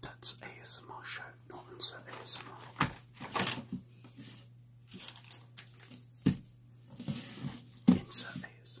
That's ASMR show, not answer ASMR. Insert ASMR.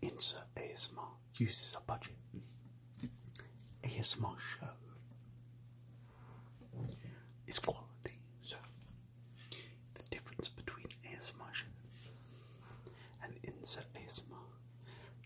Insert ASMR uses a budget ASMR show is quality. So, the difference between ASMR and insert ASMR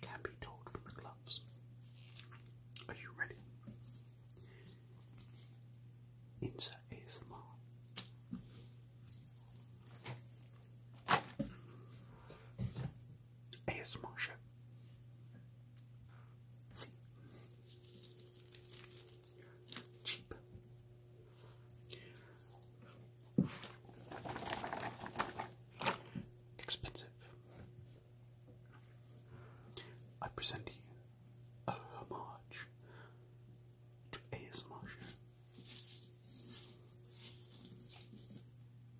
can be told from the gloves. Are you ready? Insert ASMR. A S shit. Cheap. Expensive. I present you a homage to ASMR shit.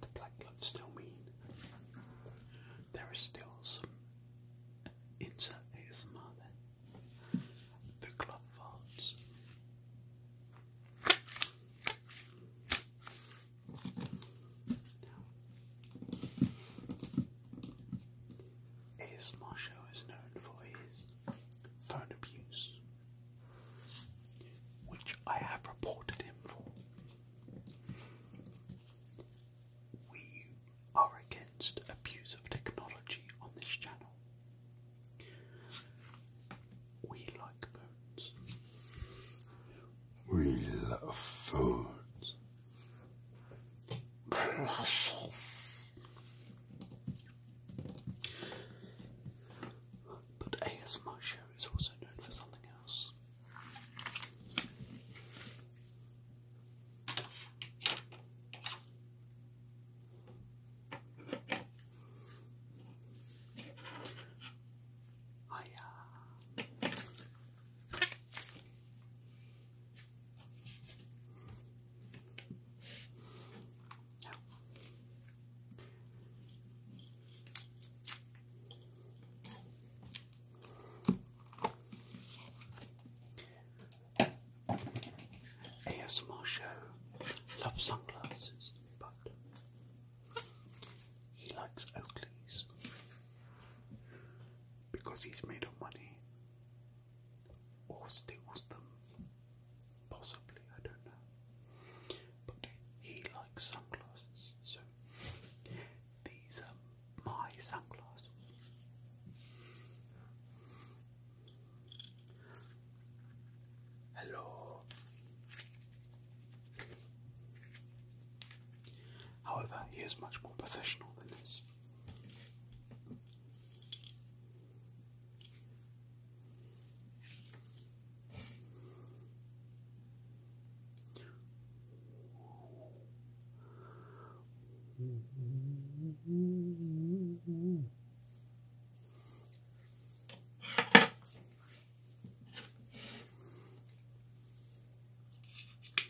the black gloves still mean there are still some insert his mother. The glove farts. Is Marshall is known for his phone abuse, which I have reported him for. We are against abuse of technology on this channel. We like phones. We love phones precious. But ASMR show is also known for something else. Hiya. ASMR show loves sunglasses, but he likes Oakleys because he's made of money or steals them. Possibly, I don't know. But he likes sunglasses, so these are my sunglasses. Hello. However, he is much more professional than this.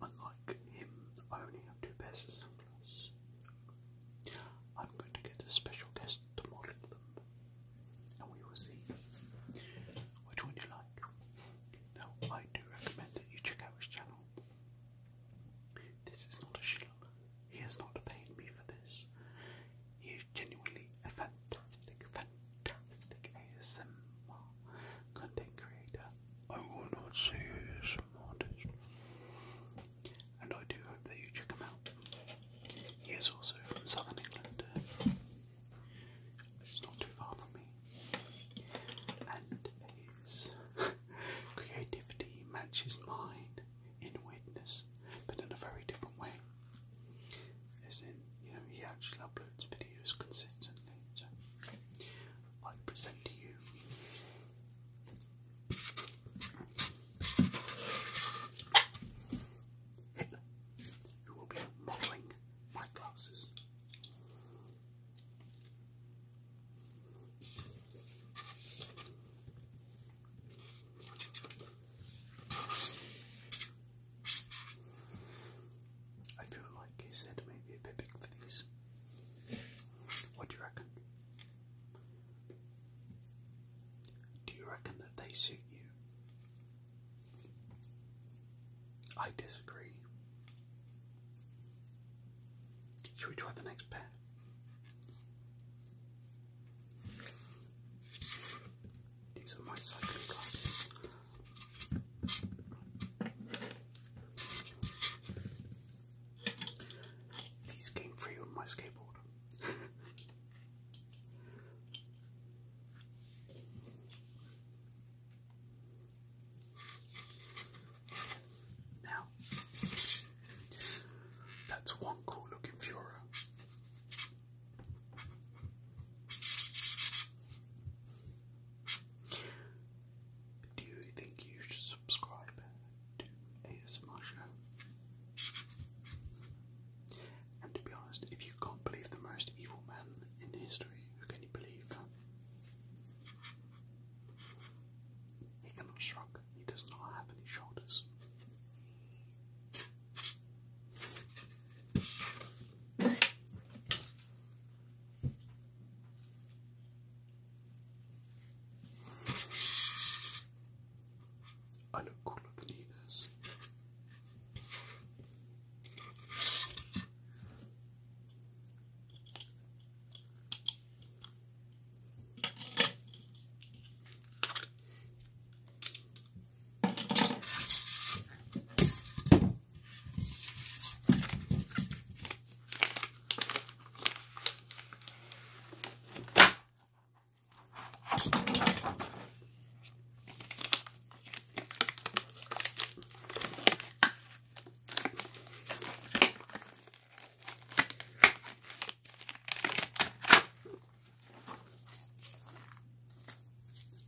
Unlike him, I only have two pests. I'm going to get a special guest to model them, and we will see which one you like. Now, I do recommend that you check out his channel. This is not a shill. He has not paid me for this. He is genuinely a fantastic, fantastic ASMR content creator. I will not say ASMR and I do hope that you check him out. He is also from southern England, it's not too far from me, and his creativity matches mine in weirdness, but in a very different way. As in, you know, he actually uploads videos consistently. I present to you Hitler, who will be modelling my glasses. I feel like his head may a bit big for these. What do you reckon? Do you reckon that they suit you? I disagree. Should we try the next pair? These are my cycling glasses. These came free on my skateboard. now, that's one cool looking Fura. Do you think you should subscribe to ASMR And to be honest, if you can't believe the most evil man in history, who can you believe? He cannot shrug, he does not have any shoulders. I look cooler than he does.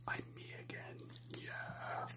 I'm me again, yeah.